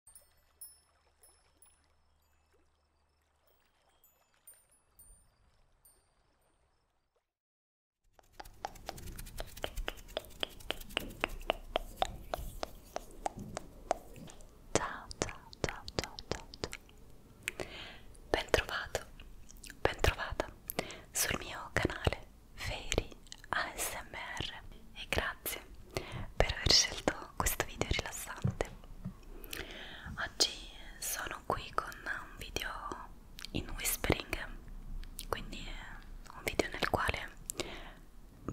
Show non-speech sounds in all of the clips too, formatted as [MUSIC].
Ciao, ciao, ciao, ciao, ciao, ciao. Bentrovato, bentrovata sul mio canale Fairy ASMR e grazie grazie per aver scelto questo video rilassante. Oggi sono qui con un video in whispering, quindi un video nel quale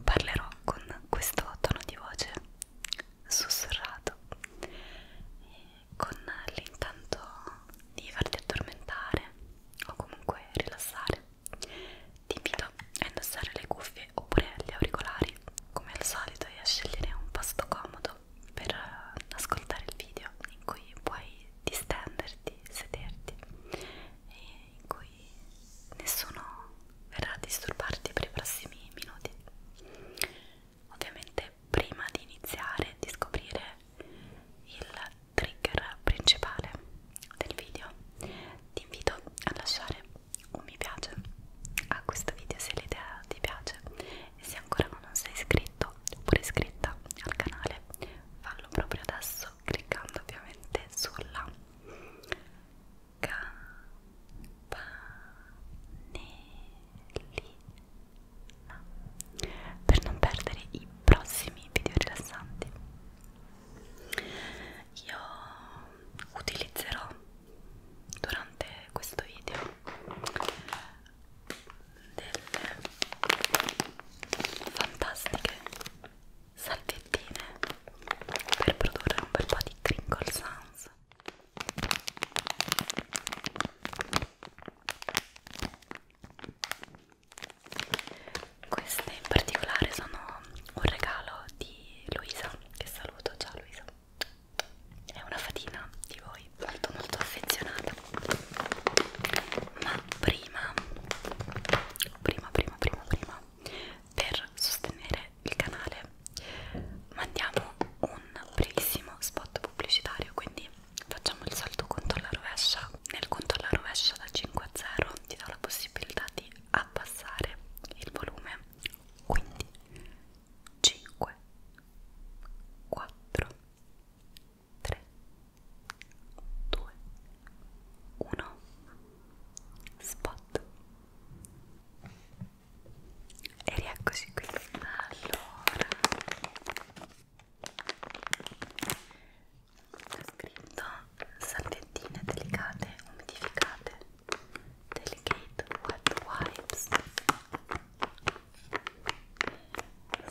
parlerò con questo tono di voce sussurrato con l'intento di farti addormentare o comunque rilassare ti invito a indossare le cuffie oppure gli auricolari come al solito e a scegliere un posto comodo per ascoltare il video in cui puoi distenderti, sederti e in cui nessuno verrà a disturbarti per i prossimi minuti. Ovviamente prima di iniziare di scoprire il trigger principale del video ti invito a lasciare un mi piace a questo video se l'idea ti piace e se ancora non sei iscritto oppure iscritta al canale fallo proprio adesso cliccando ovviamente sulla campanellina per non perdere i prossimi video rilassanti io utilizzerò durante questo video delle fantastiche salviettine per produrre un bel po' di crinkle sounds queste in particolare sono un regalo di Luisa, che saluto, ciao Luisa. È una fatina di voi, molto molto affezionata. Ma prima, prima, prima, prima, prima, per sostenere il canale mandiamo un brevissimo spot pubblicitario, quindi facciamo il salto contro la rovescia rovescia nel conto alla rovescia da 5 a 0 ti do la possibilità di abbassare il volume quindi 5 4 3 2 1 spot e rieccoci qui allora c'è scritto salviettine delicate umidificate delicate wet wipes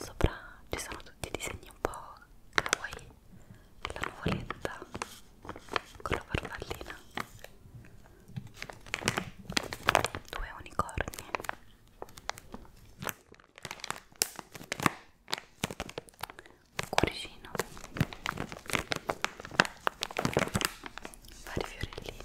sopra ci sono tutti i disegni un po' kawaii la nuvoletta con la farfallina due unicorni cuoricino vari fiorellini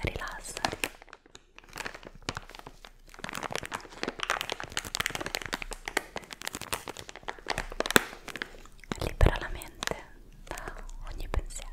rilassati libera la mente da ogni pensiero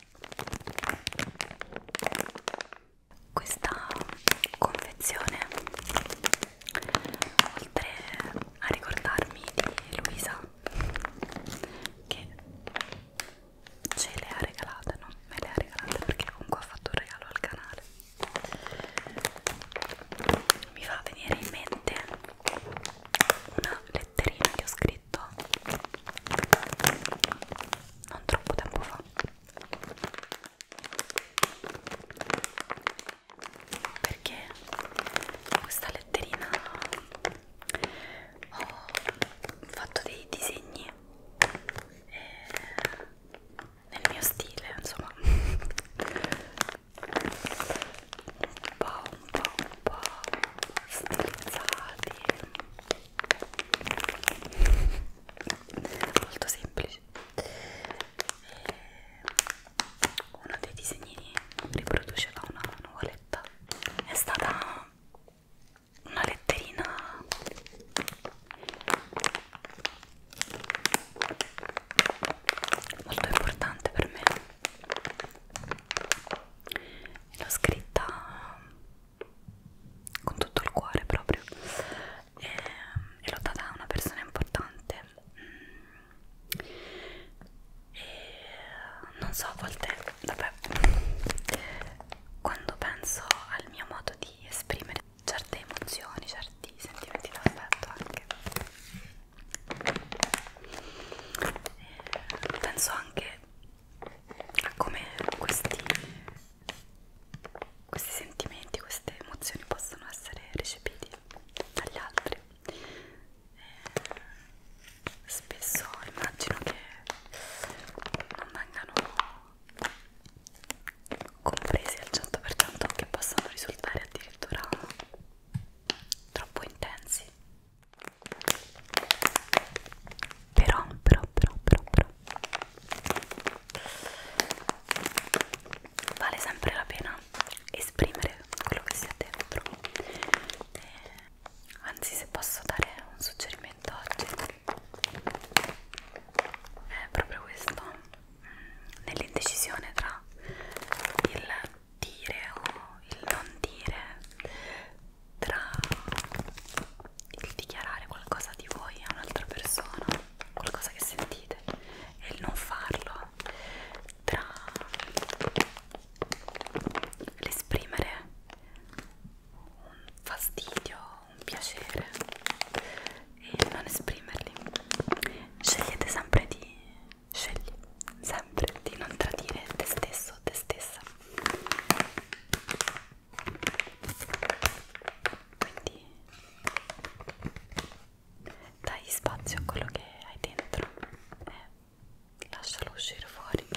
Questa confezione, oltre a ricordarmi di Luisa che ce le ha regalate, non me le ha regalate perché comunque ha fatto un regalo al canale, mi fa venire in mente una letterina che ho scritto letto non troppo tempo fa perché questa letterina ho fatto dei disegni eh, nel mio stile insomma [LAUGHS] un po' un po' un po' strizzati molto semplici e uno dei disegnini riproduceva una nuvoletta è stata una letterina molto importante per me l'ho scritta con tutto il cuore proprio e, e l'ho data a una persona importante e non so a volte vabbè quando penso al mio modo di esprimere certe emozioni certi sentimenti d'affetto anche eh, penso anche a come questi, questi sentimenti, queste emozioni possono essere recepiti dagli altri eh, spesso immagino che non vengano compresi al 100% che possano risultare addirittura troppo intensi però, però, però, però, però vale sempre la pena esprimere quello che si ha dentro. Eh, anzi, se posso dare un suggerimento oggi, è proprio questo: mm, nell'indecisione tra il dire o il non dire tra il dichiarare qualcosa di voi a un'altra persona, qualcosa che sentite, e il non farlo, tra l'esprimere un fastidio, un piacere e non esprimerli. Scegliete sempre di Scegli sempre di non tradire te stesso o te stessa. Quindi dai spazio a quello che hai dentro e lascialo uscire fuori.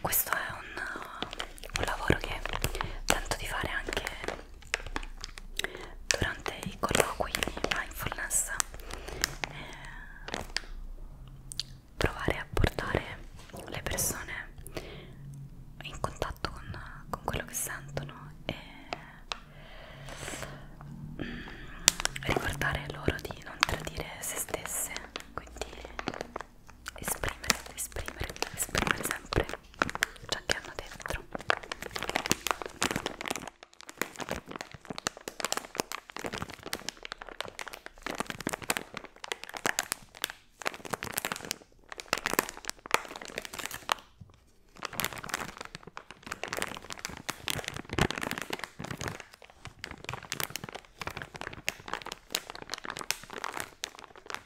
Questo è un, un lavoro che tento di fare anche durante i colloqui di mindfulness eh, provare a portare le persone in contatto con, con quello che sentono e mm, ricordare loro di non tradire se stesse quindi esprimere, esprimere, esprimere sempre ciò che hanno dentro.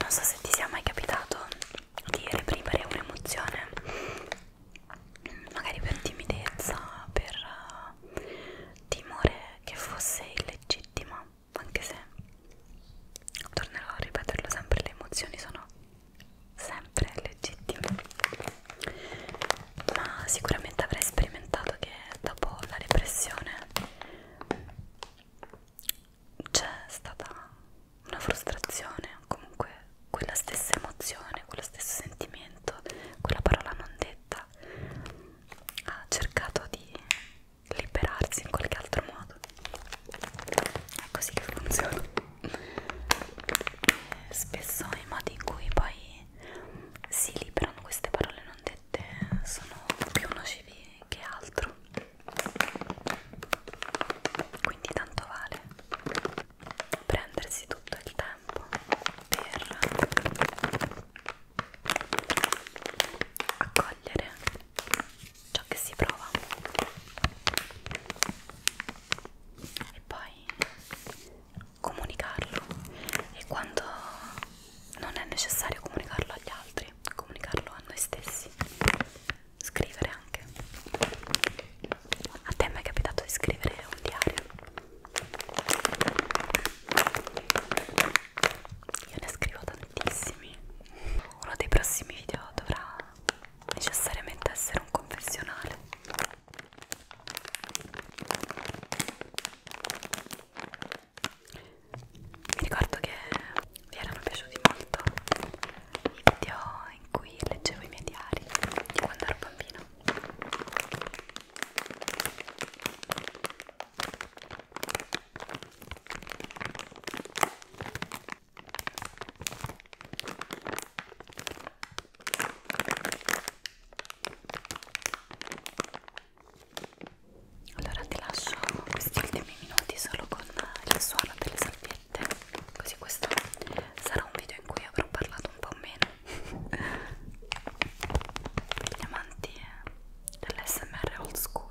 Non so se ti sia mai capitato di reprimere un'emozione, magari per timidezza, per eh, timore che fosse illegittima anche se tornerò a ripeterlo sempre, le emozioni sono sempre legittime, ma sicuramente avrei sperimentato che dopo la depressione c'è stata una frustrazione, comunque quella stessa emozione, quello stesso sentimento, quella parola non detta ha cercato di liberarsi in qualche altro modo è così che funziona eh, spesso i modi in cui poi si liberano queste parole non dette sono più nocivi che altro quindi tanto vale prendersi tutto il tempo per accogliere ciò che si prova e poi comunicarlo e quando non è necessario comunicarlo agli altri comunicarlo a noi stessi scrivere anche a te mi è capitato di scrivere un diario io ne scrivo tantissimi uno dei prossimi video dovrà necessariamente essere un confessionale mi ricordo che vi erano piaciuti molto i video in cui leggevo i miei diari di quando ero bambino allora ti lascio questi ultimi minuti solo con il suono delle salviette, così questo sarà un video in cui avrò parlato un po' meno. Per gli amanti eh. Er the LSMR old school.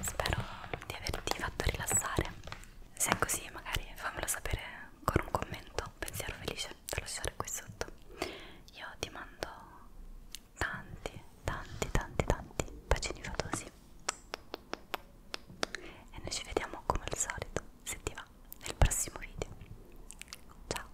Spero di averti fatto rilassare. Se è così, magari fammelo sapere con un commento, un pensiero felice da lasciare qui sotto. Io ti mando tanti, tanti, tanti, tanti bacini fatosi e noi ci vediamo come al solito se ti va nel prossimo video ciao